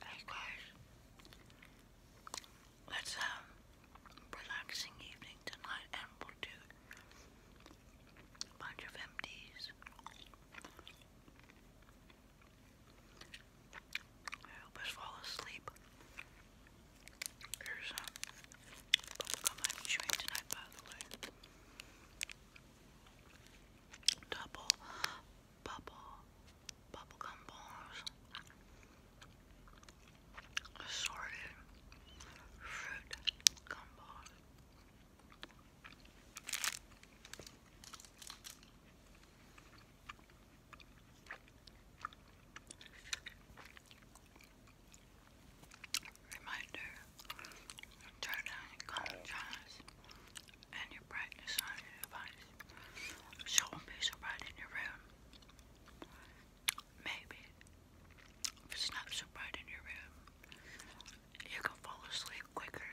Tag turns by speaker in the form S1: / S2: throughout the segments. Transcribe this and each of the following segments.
S1: Hey guys, let's have um, relaxing evening tonight and we'll do a bunch of MDs. help us fall asleep. Here's a bubblegum I'm chewing tonight, by the way. Double bubble bubblegum balls. Assorted fruit gumballs. Reminder, turn down your color channels and your brightness on your device. it won't be so bright in your room. Maybe if it's not so bright in your room, you can fall asleep quicker.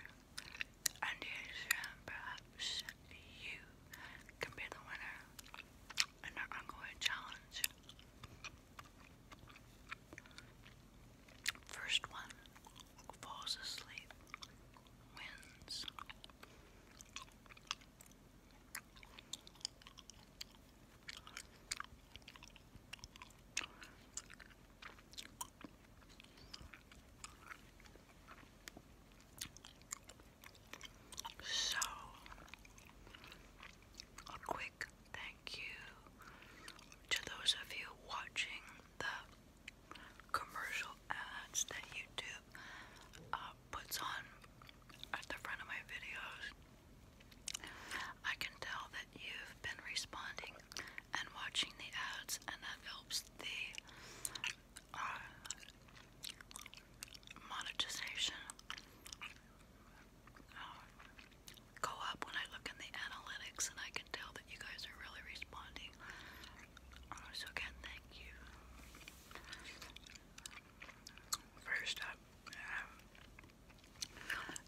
S1: And perhaps you can be the winner an ongoing challenge. First one falls asleep, wins. So, quick thank you to those of you watching the commercial ads that YouTube uh, puts on at the front of my videos. I can tell that you've been responding and watching the ads, and that helps the uh, monetization uh, go up when I look in the analytics, and I can tell that you guys are really responding. Uh, so again, thank you. First up, um,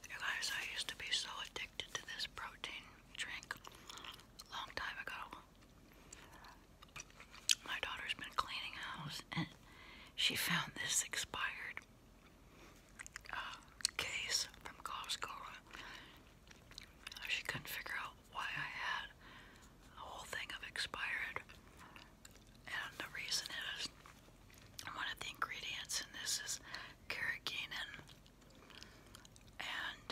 S1: you guys, I used to be so addicted to this protein drink a long time ago my daughter's been cleaning house and she found this expired uh, case from Costco. Uh, she couldn't figure out why I had a whole thing of expired. And the reason is one of the ingredients in this is carrageenan. And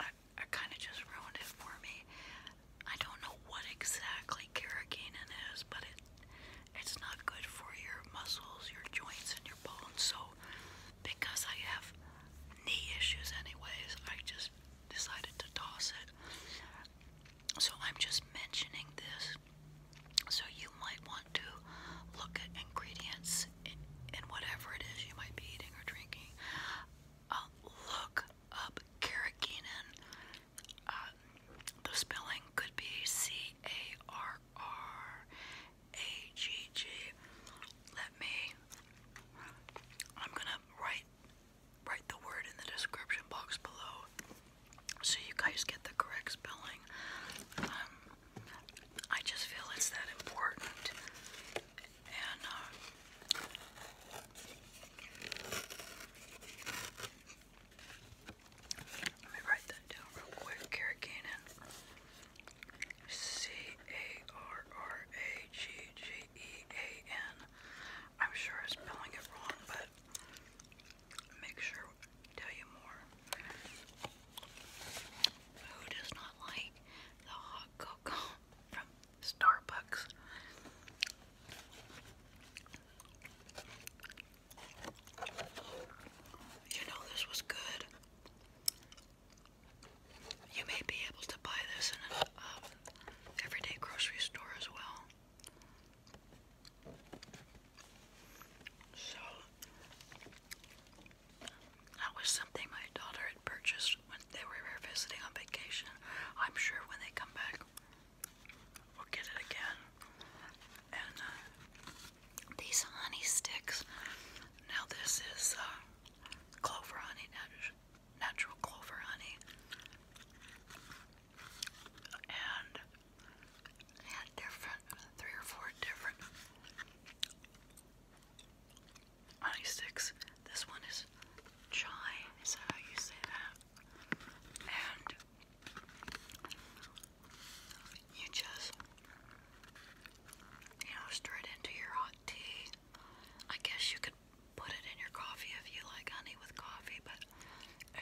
S1: I are kind of just ruined it for me. I don't know what exactly carrageenan is, but it it's not good for your muscles, your joints, and your bones. So because I have knee issues anyways, I just decided to toss it. So I'm just mentioning this so you might want to look at ingredients in whatever it is you might be eating or drinking look up carrageenan. Uh, the spelling could be C A R R A G G. Let me. I'm gonna write write the word in the description box below, so you guys get the correct spelling. Um, I just feel it's that important, yeah, uh, Let me write that down real quick. Kara C A R R A G G E A N. I'm sure I'm spelling it wrong, but make sure tell you more. Who does not like the hot cocoa from Starbucks. You know this was good. You may be able to buy this in an um, everyday grocery store as well. So that was something my daughter purchased when they were visiting on vacation. I'm sure when they come back, we'll get it again. And uh, these honey sticks. Now this is uh, clover honey, natural clover honey, and they different, three or four different honey sticks. This one is chai, is that how you say that? And you just, you know, stir it into your hot tea. I guess you could put it in your coffee if you like honey with coffee, but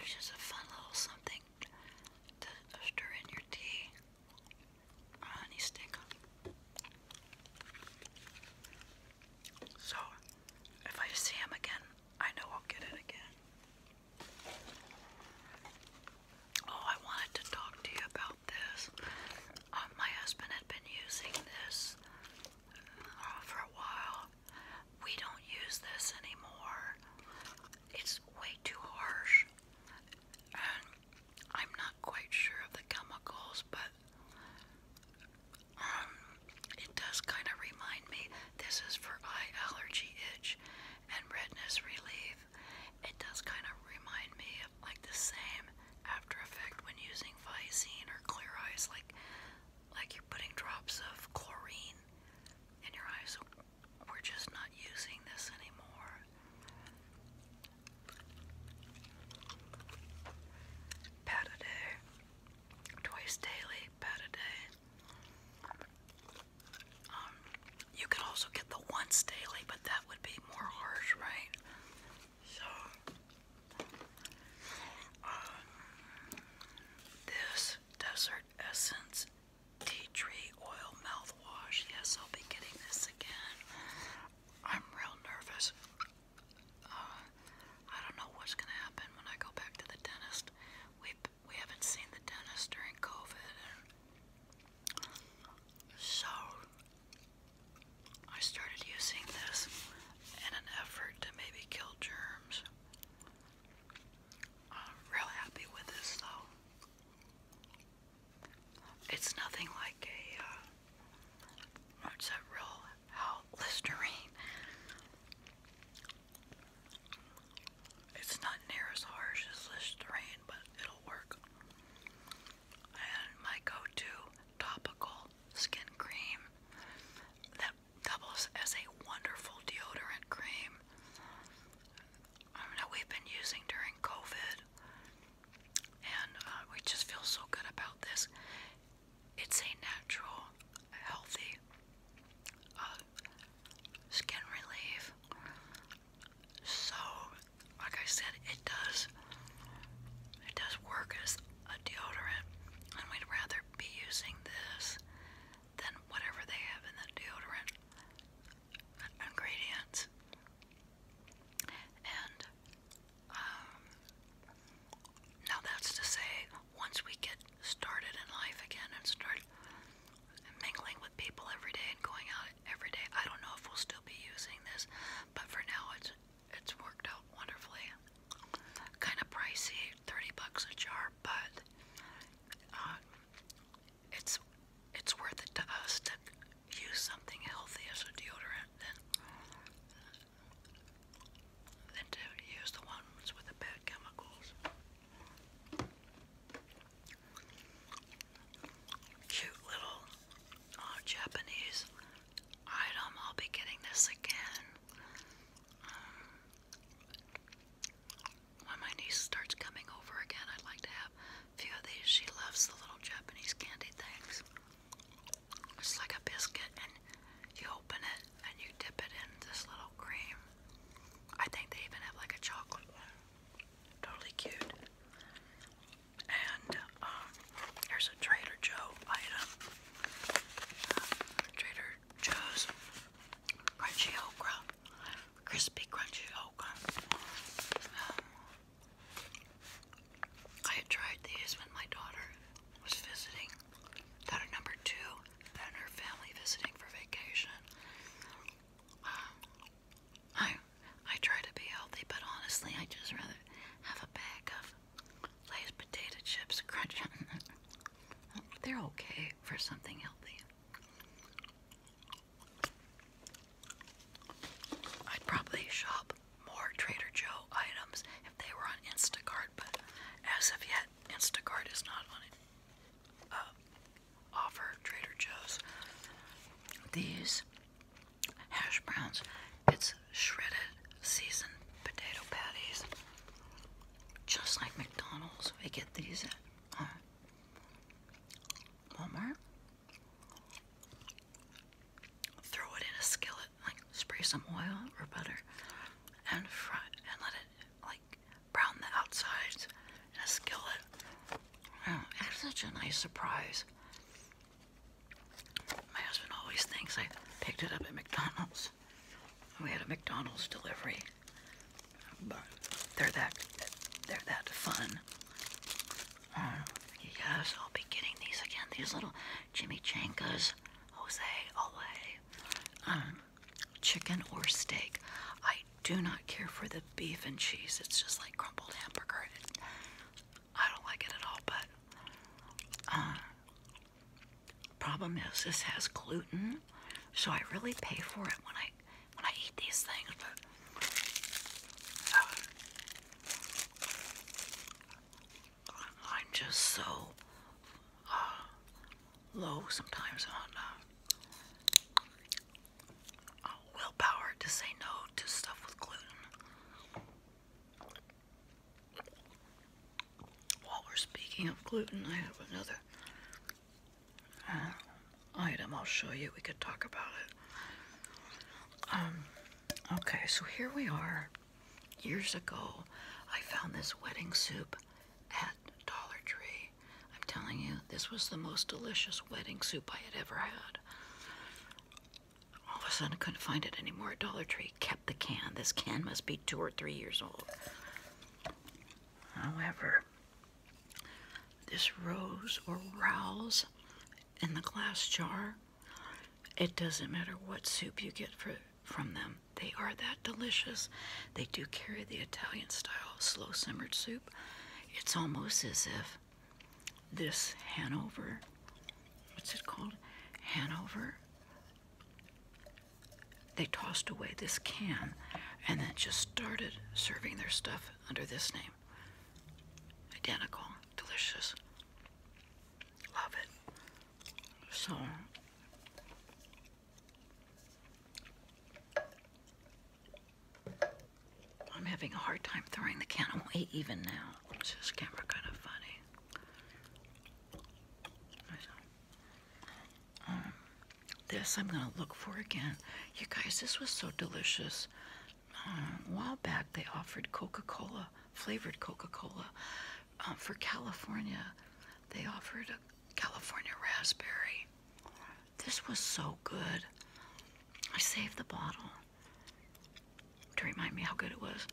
S1: it's just a fun little something to stir in your tea. honey stick. So, if I see him again, I know I'll get it again. Oh, I wanted to talk to you about this. Um, my husband had been using this uh, for a while. We don't use this anymore. It's way too harsh. And I'm not quite sure of the chemicals, but um, it does kind of remind me this is for eye allergy, itch, and redness relief. It does kind of remind me of like the same after effect when using Visine or Clear Eyes, like like you're putting drops of chlorine in your eyes. We're just not using this anymore. Pataday twice daily, pat day. Um, you could also get the once daily, but that would be more harsh, right? So, um, this Desert Essence Tea Tree Oil Mouthwash. Yes, I'll be getting this again. I'm real nervous. Uh, I don't know what's gonna happen when I go back to the dentist. We we haven't seen the dentist during COVID, so I started using this in an effort to maybe kill germs. I'm real happy with this though. It's nothing like a. Uh, it's real Listerine it's not near as harsh as Listerine, but it'll work. And my go-to topical skin cream that doubles as a wonderful deodorant cream that we've been using during COVID. And uh, we just feel so good about this. It's a natural, healthy uh, skin relief. So, like I said, it does it does work as a deodorant, and we'd rather be using this than whatever they have in the deodorant ingredients. And um, now, that's to say, once we get started in life again and start mingling with people every day and going out every day, I don't know if we'll still be using this, but for now, it's it's worked out wonderfully. Kind of pricey, thirty bucks a jar, but uh, it's it's worth it to us to use something healthy as a deodorant than than to use the ones with the bad chemicals. Cute little uh, Japanese item. I'll be getting this again um, when my niece starts coming over again. I'd like to have a few of these. She loves the little Japanese candy things. It's like a biscuit, and you open it and you dip it in this little cream. I think they even have like a chocolate one. Totally cute. And um, here's a Trader Joe item. Trader Joe's crunchy okra, crispy crunchy okra. Um, I had tried these when my daughter was visiting. Daughter number two and her family visiting for vacation. Um, I I try to be healthy, but honestly, I just rather have a bag of Lay's potato chips crunch They're okay for something healthy. I'd probably shop more Trader Joe items if they were on Instacart, but as of yet, Instacart is not on it. Uh, offer Trader Joe's. These hash browns, it's shredded seasoned potato patties, just like McDonald's. We get these at uh, Walmart. Throw it in a skillet like spray some oil or butter and fry and let it like brown the outsides in a skillet. Oh, it's such a nice surprise. My husband always thinks I picked it up at McDonald's. We had a McDonald's delivery, but they're that they're that fun. Oh, yes, I'll be getting these again. These little chimichangas, Jose, Ole, um, chicken or steak. I do not care for the beef and cheese. It's just like crumbled hamburger. I don't like it at all, but uh, problem is this has gluten, so I really pay for it when I when I eat these things. But, uh, I'm just so uh, low sometimes on uh, uh, willpower to say no to stuff with gluten. While we're speaking of gluten, I have another uh, item I'll show you. We could talk about it. Um, okay, so here we are. Years ago, I found this wedding soup at Dollar Tree. I'm telling you, this was the most delicious wedding soup I had ever had. All of a sudden, I couldn't find it anymore at Dollar Tree. Kept the can. This can must be two or three years old. However, this rose or rouse in the glass jar it doesn't matter what soup you get from them. They are that delicious. They do carry the Italian style slow simmered soup. It's almost as if this Hanover, what's it called? Hanover. They tossed away this can and then just started serving their stuff under this name. Identical, delicious. Love it. So I'm having a hard time throwing the can away even now. This just camera kind of funny. Um, this I'm gonna look for again. You guys, this was so delicious. Um, a while back they offered Coca-Cola flavored Coca-Cola. Um, for California, they offered a California raspberry. This was so good. I saved the bottle to remind me how good it was.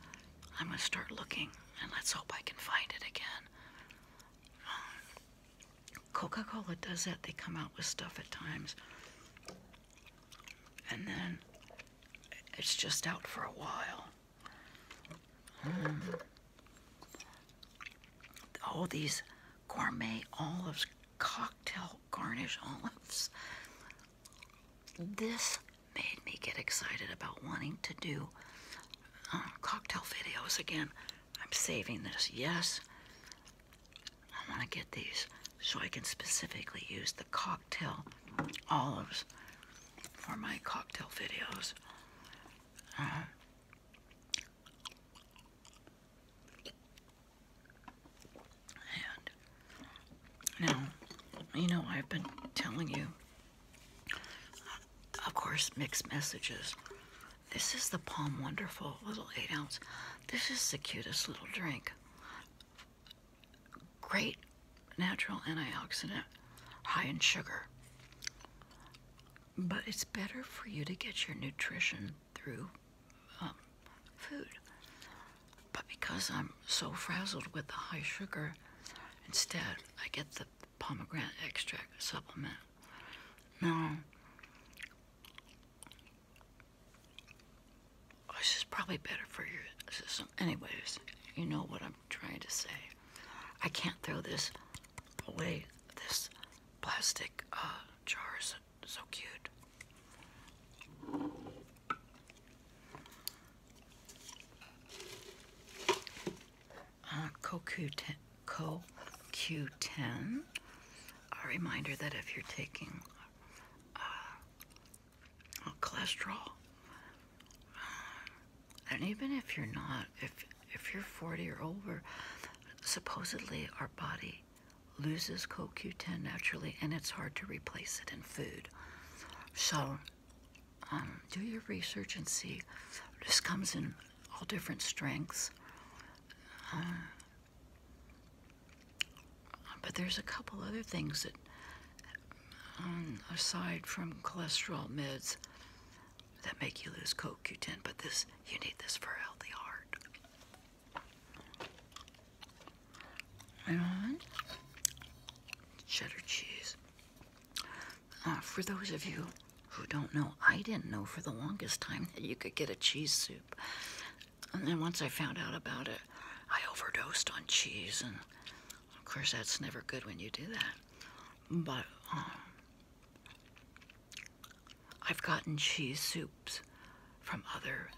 S1: I'm gonna start looking and let's hope I can find it again. Um, Coca-Cola does that. They come out with stuff at times. And then it's just out for a while. Hmm. All these gourmet olives, cocktail garnish olives. This made me get excited about wanting to do uh, cocktail videos again. I'm saving this, yes. I want to get these so I can specifically use the cocktail cocktail olives for my cocktail videos. Uh, and now, you know, I've been telling you, of course, mixed messages. This is the Palm Wonderful little 8 ounce. This is the cutest little drink great natural antioxidant high in sugar. But it's better for you to get your nutrition through um, food. But because I'm so frazzled with the high sugar, instead I get the pomegranate extract supplement. Now, this is probably better for your system. Anyways, you know what I'm trying to say. I can't throw this away. This plastic uh, jar is so cute. Uh, CoQ10, a reminder that if you're taking uh, Oh, cholesterol. And even if you're not, if if you're 40 or older, supposedly our body loses CoQ10 naturally, and it's hard to replace it in food. So um, do your research and see. This comes in all different strengths. Uh, but there's a couple other things that um, aside from cholesterol meds that make you lose CoQ10, but this you need this for a healthy heart. And cheddar cheese. Uh, for those of you who don't know, I didn't know for the longest time that you could get a cheese soup. And then once I found out about it, I overdosed on cheese and of course, that's never good when you do that. But um, I've gotten cheese soups from other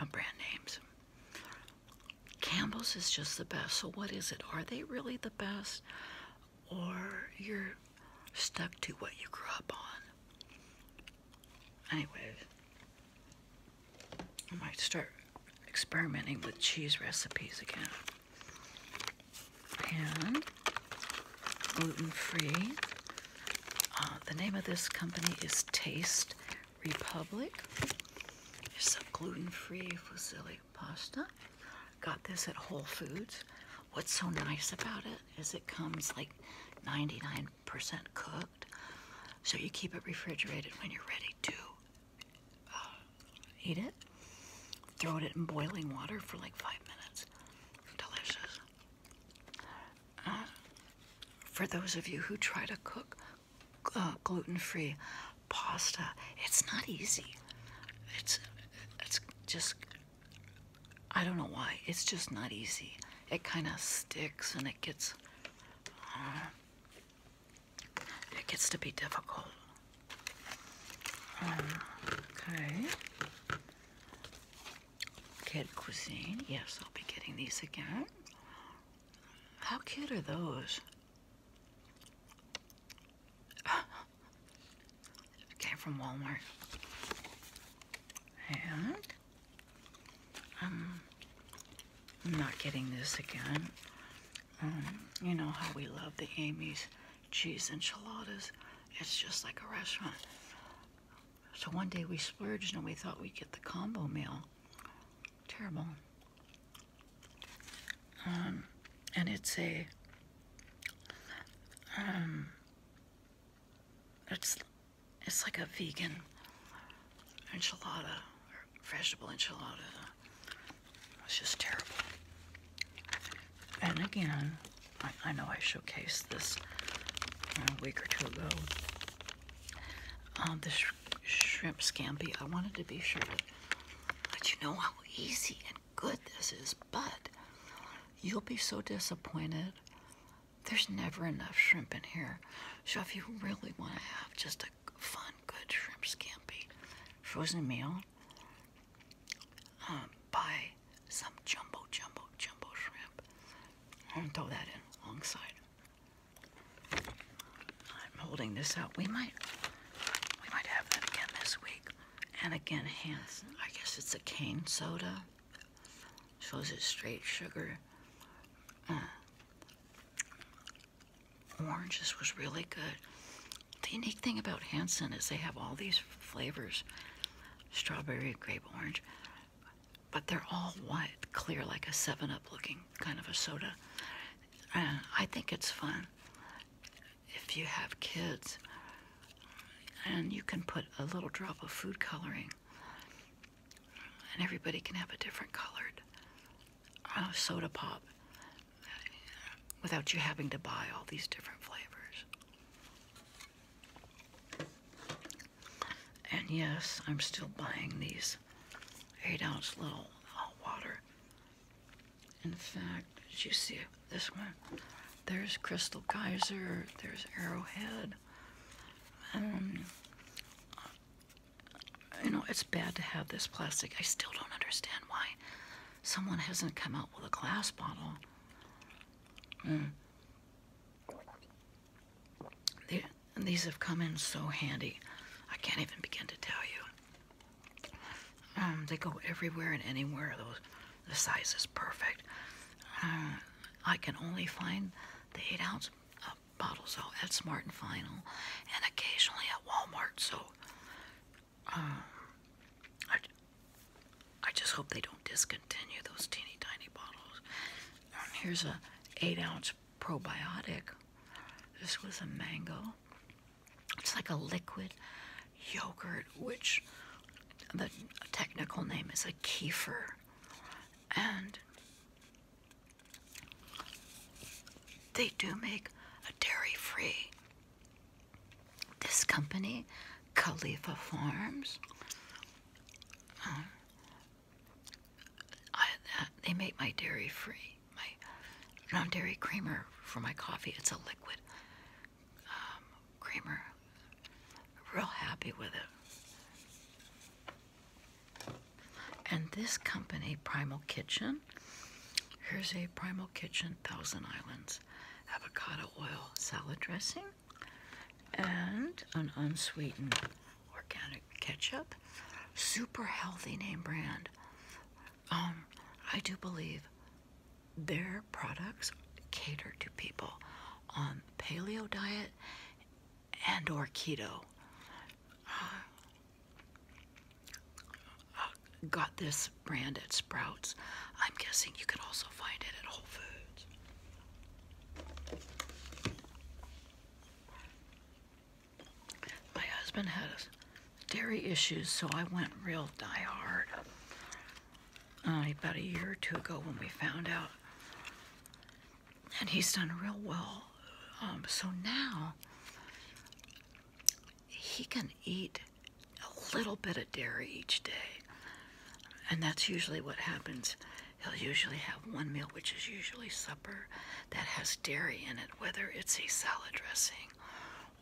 S1: uh, brand names. Campbell's is just the best. So what is it? Are they really the best? Or you're stuck to what you grew up on? Anyways, I might start experimenting with cheese recipes again. And gluten-free. Uh, the name of this company is Taste Republic. It's a gluten-free fusilli pasta. Got this at Whole Foods. What's so nice about it is it comes like 99% cooked. So you keep it refrigerated when you're ready to eat it, throw it in boiling water for like five minutes. Delicious. Uh, for those of you who try to cook uh, gluten-free pasta, it's not easy. It's it's just I don't know why. It's just not easy. It kind of sticks and it gets. Uh, it gets to be difficult. Um, okay. Kid Cuisine. Yes, I'll be getting these again. How cute are those? Came from Walmart. And um, I'm not getting this again. Um, you know how we love the Amy's cheese enchiladas. It's just like a restaurant. So one day we splurged and we thought we'd get the combo meal. Terrible. Um, and it's a, um, it's, it's like a vegan enchilada vegetable enchilada. It's just terrible. And again, I, know I showcased this a uh, week or two ago. Um, this shrimp scampi. I wanted to be sure to let you know how easy and good this is, but you'll be so disappointed. There's never enough shrimp in here. So if you really want to have just a fun good shrimp scampi, frozen meal, um, buy some jumbo, jumbo, jumbo shrimp. I'm gonna throw that in alongside. I'm holding this up. We might, we might have that again this week. And again, Hanson. I guess it's a cane soda. Shows it's straight sugar. Uh, oranges was really good. The unique thing about Hanson is they have all these flavors, strawberry, grape, orange, but they're all white, clear, like a 7-Up looking kind of a soda. And I think it's fun if you have kids and you can put a little drop of food coloring and everybody can have a different colored uh, soda pop without you having to buy all these different flavors. And yes, I'm still buying these eight ounce little hot water. In fact, did you see this one? There's Crystal Geyser. there's Arrowhead. Um, you know, it's bad to have this plastic. I still don't understand why someone hasn't come out with a glass bottle. Mm. these have come in so handy. I can't even begin to tell you. Um, they go everywhere and anywhere. Those, the size is perfect. Uh, I can only find the 8 ounce bottles out at Smart and Final and occasionally at Walmart. So um, I, I just hope they don't discontinue those teeny tiny bottles. here's a 8 ounce probiotic. This was a mango. It's like a liquid yogurt, which the technical name is a kefir. And they do make a dairy free. This company, Khalifa Farms, um, I, uh, they make my dairy free, my non dairy creamer for my coffee. It's a liquid um, creamer. Real happy with it. And this company, Primal Kitchen, here's a Primal Kitchen Thousand Islands avocado oil salad dressing and an unsweetened organic ketchup. Super healthy name brand. Um, I do believe their products cater to people on paleo diet and or keto. Uh, uh, got this brand at Sprouts. I'm guessing you could also find it at Whole Foods. My husband had dairy issues, so I went real diehard uh, about a year or two ago when we found out and he's done real well. Um, so now he can eat a little bit of dairy each day. And that's usually what happens. He'll usually have one meal, which is usually supper, that has dairy in it, whether it's a salad dressing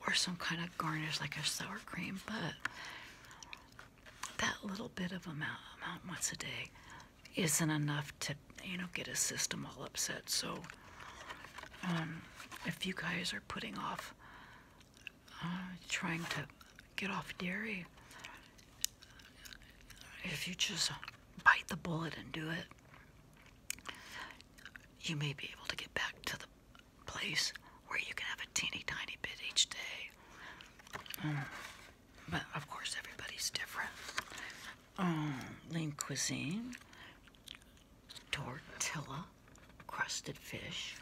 S1: or some kind of garnish like a sour cream. But that little bit of amount, amount once a day isn't enough to, you know, get a system all upset. So um, if you guys are putting off uh, trying to get off dairy, if you just bite the bullet and do it, you may be able to get back to the place where you can have a teeny tiny bit each day. Um, but of course, everybody's different um, lean cuisine, tortilla, crusted fish.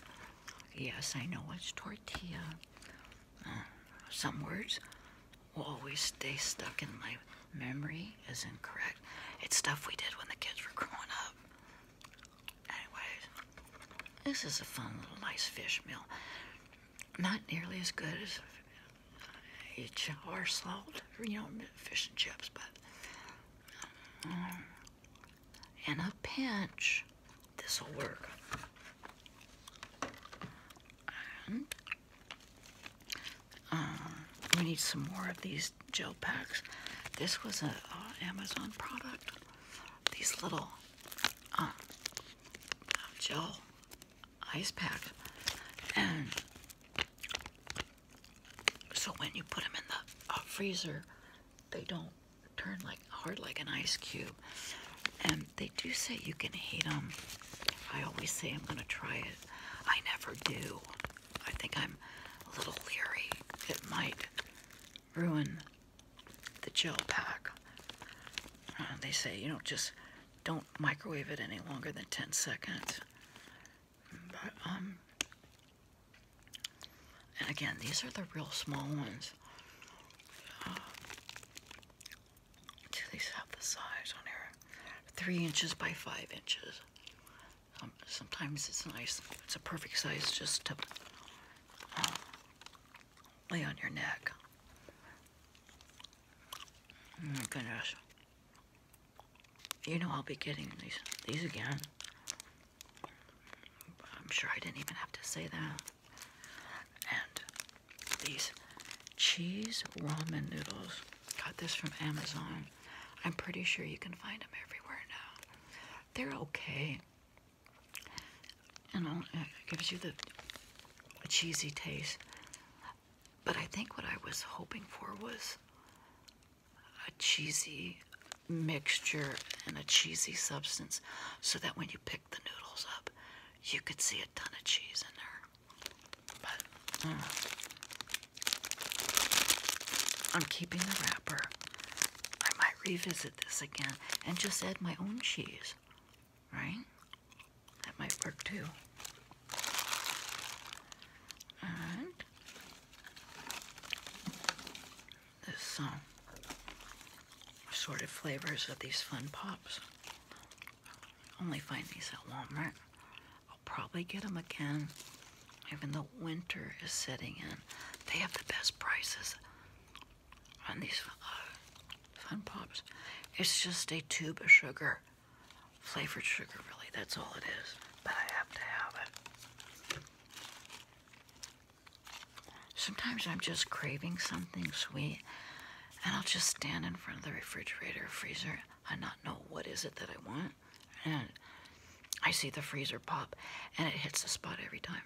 S1: Yes, I know it's tortilla. Uh, some words will always stay stuck in my memory is incorrect. It's stuff we did when the kids were growing up. Anyways, this is a fun little nice fish meal. Not nearly as good as HR salt, you know, fish and chips, but um, in a pinch, this will work. Uh, we need some more of these gel packs. This was an uh, Amazon product. These little uh, gel ice pack, and so when you put them in the freezer, they don't turn like hard like an ice cube. And they do say you can heat them. I always say I'm going to try it. I never do. I think I'm a little leery. It might ruin the gel pack. Uh, they say, you know, just don't microwave it any longer than 10 seconds. But, um, and again, these are the real small ones. do uh, these have the size on here? Three inches by five inches. Um, sometimes it's nice. It's a perfect size just to uh, lay on your neck. Oh my you know I'll be getting these these again. I'm sure I didn't even have to say that. And these cheese ramen noodles. Got this from Amazon. I'm pretty sure you can find them everywhere now. They're okay. You uh, know, it gives you the cheesy taste. But I think what I was hoping for was a cheesy mixture and a cheesy substance so that when you pick the noodles up, you could see a ton of cheese in there. But uh, I'm keeping the wrapper. I might revisit this again and just add my own cheese, right? That might work too. And this um, assorted flavors of these fun pops. Only find these at Walmart. I'll probably get them again, even though winter is setting in. They have the best prices on these uh, fun pops. It's just a tube of sugar flavored sugar, really. That's all it is. But I have to have it. Sometimes I'm just craving something sweet, and I'll just stand in front of the refrigerator freezer and not know what is it that I want. And I see the freezer pop, and it hits the spot every time.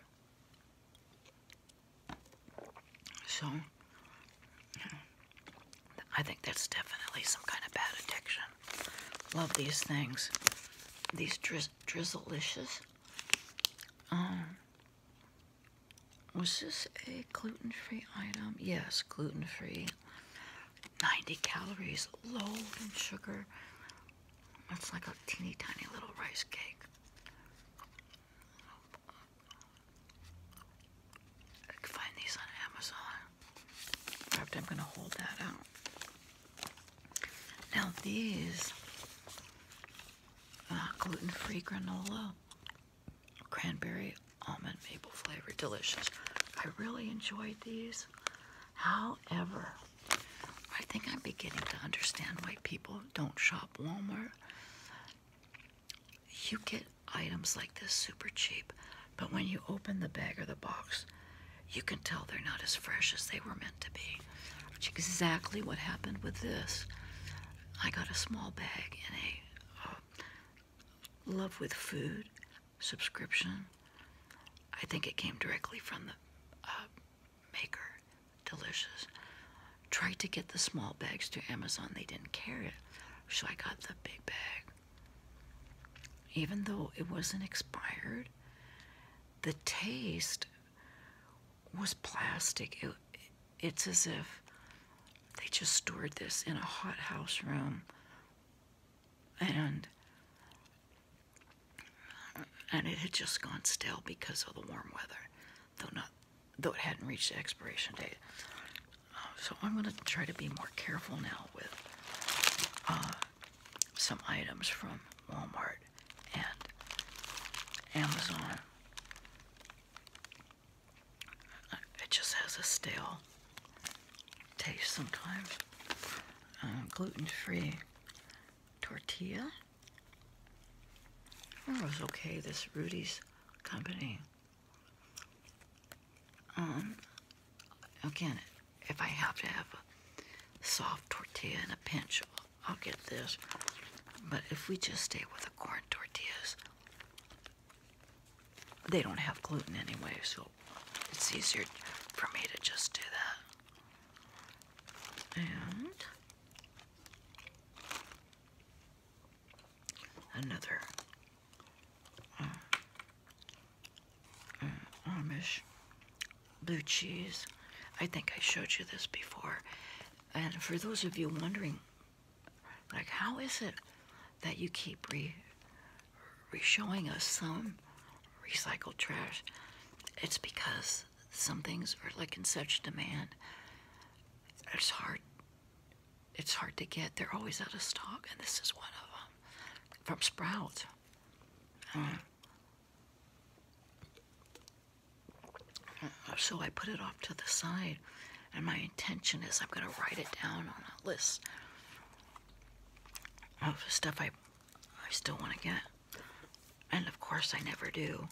S1: So, I think that's definitely some kind of bad addiction. Love these things. These drizz drizzleicious. Um, was this a gluten-free item? Yes, gluten-free. 90 calories, low in sugar. That's like a teeny tiny little rice cake. I can find these on Amazon. In I'm going to hold that out. Now, these uh, gluten free granola, cranberry, almond, maple flavor, delicious. I really enjoyed these. However, I think I'm beginning to understand why people don't shop Walmart. You get items like this super cheap, but when you open the bag or the box, you can tell they're not as fresh as they were meant to be. Which exactly what happened with this. I got a small bag in a uh, Love with Food subscription. I think it came directly from the uh, maker. Delicious. Tried to get the small bags to Amazon, they didn't carry it. So I got the big bag. Even though it wasn't expired, the taste was plastic. it's as if they just stored this in a hot house room and and it had just gone stale because of the warm weather though not though it hadn't reached the expiration date so I'm going to try to be more careful now with uh, some items from Walmart and Amazon. It just has a stale taste sometimes. Uh, gluten-free tortilla. was okay, this Rudy's company. Um, again, if I have to have a soft tortilla and a pinch, I'll get this. But if we just stay with the corn tortillas, they don't have gluten anyway, so it's easier for me to just do that. And another mm. Mm. Mm. Amish blue cheese. I think I showed you this before. And for those of you wondering, like, how is it that you keep re, re showing us some recycled trash? It's because some things are like in such demand. It's hard it's hard to get. They're always out of stock, and this is one of them from Sprout. Uh, so I put it off to the side, and my intention is I'm going to write it down on a list of stuff I, I still want to get. And of course, I never do.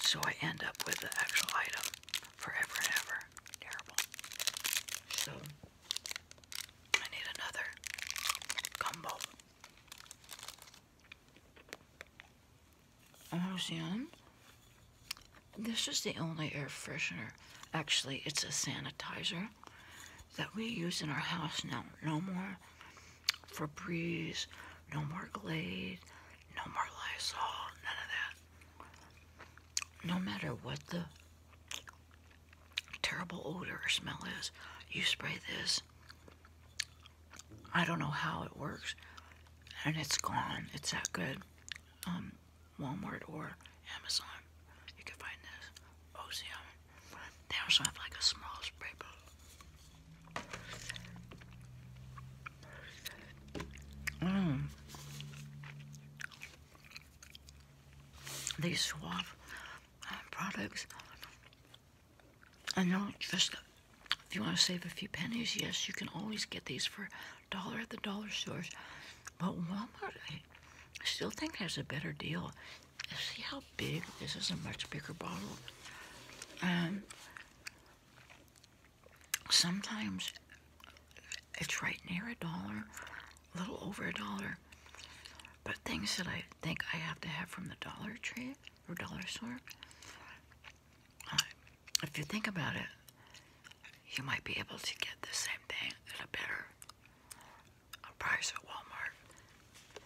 S1: So I end up with the actual item forever and ever. Terrible. So I need another combo. Ocean. Oh, this is the only air freshener. Actually, it's a sanitizer that we use in our house now. No more Febreze, no more Glade, no more Lysol, none of that no matter what the terrible odor or smell is, you spray this. I don't know how it works, and it's gone. It's that good. Um, Walmart or Amazon, you can find this. OCM. They also have like a small spray bottle. Mm. These swap uh, products I know just if you want to save a few pennies, yes, you can always get these for dollar at the dollar stores. But Walmart, I still think has a better deal. See how big this is a much bigger bottle. Um, sometimes it's right near a dollar, a little over a dollar. But things that I think I have to have from the Dollar Tree or Dollar Store, uh, if you think about it, you might be able to get the same thing at a better uh, price at Walmart.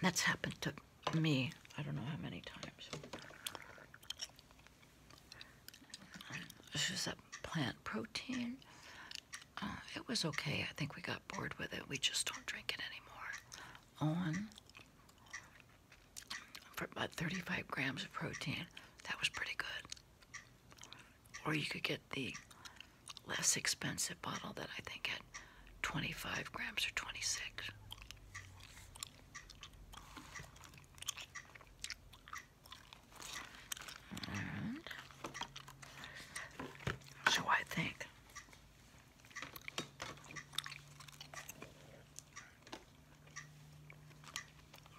S1: That's happened to me, I don't know how many times. This is a plant protein. Uh, it was okay. I think we got bored with it. We just don't drink it anymore. On for about 35 grams of protein, that was pretty good. Or you could get the less expensive bottle that I think had 25 grams or 26. And so I think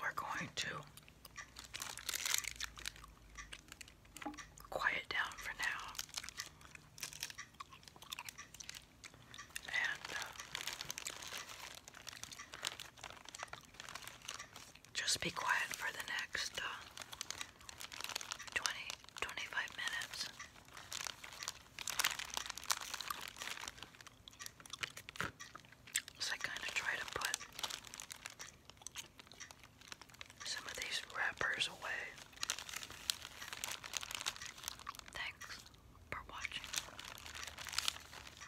S1: we're going to quiet down for now. And uh, just be quiet for the next uh, minutes. So I kind of try to put some of these wrappers away. Thanks for watching.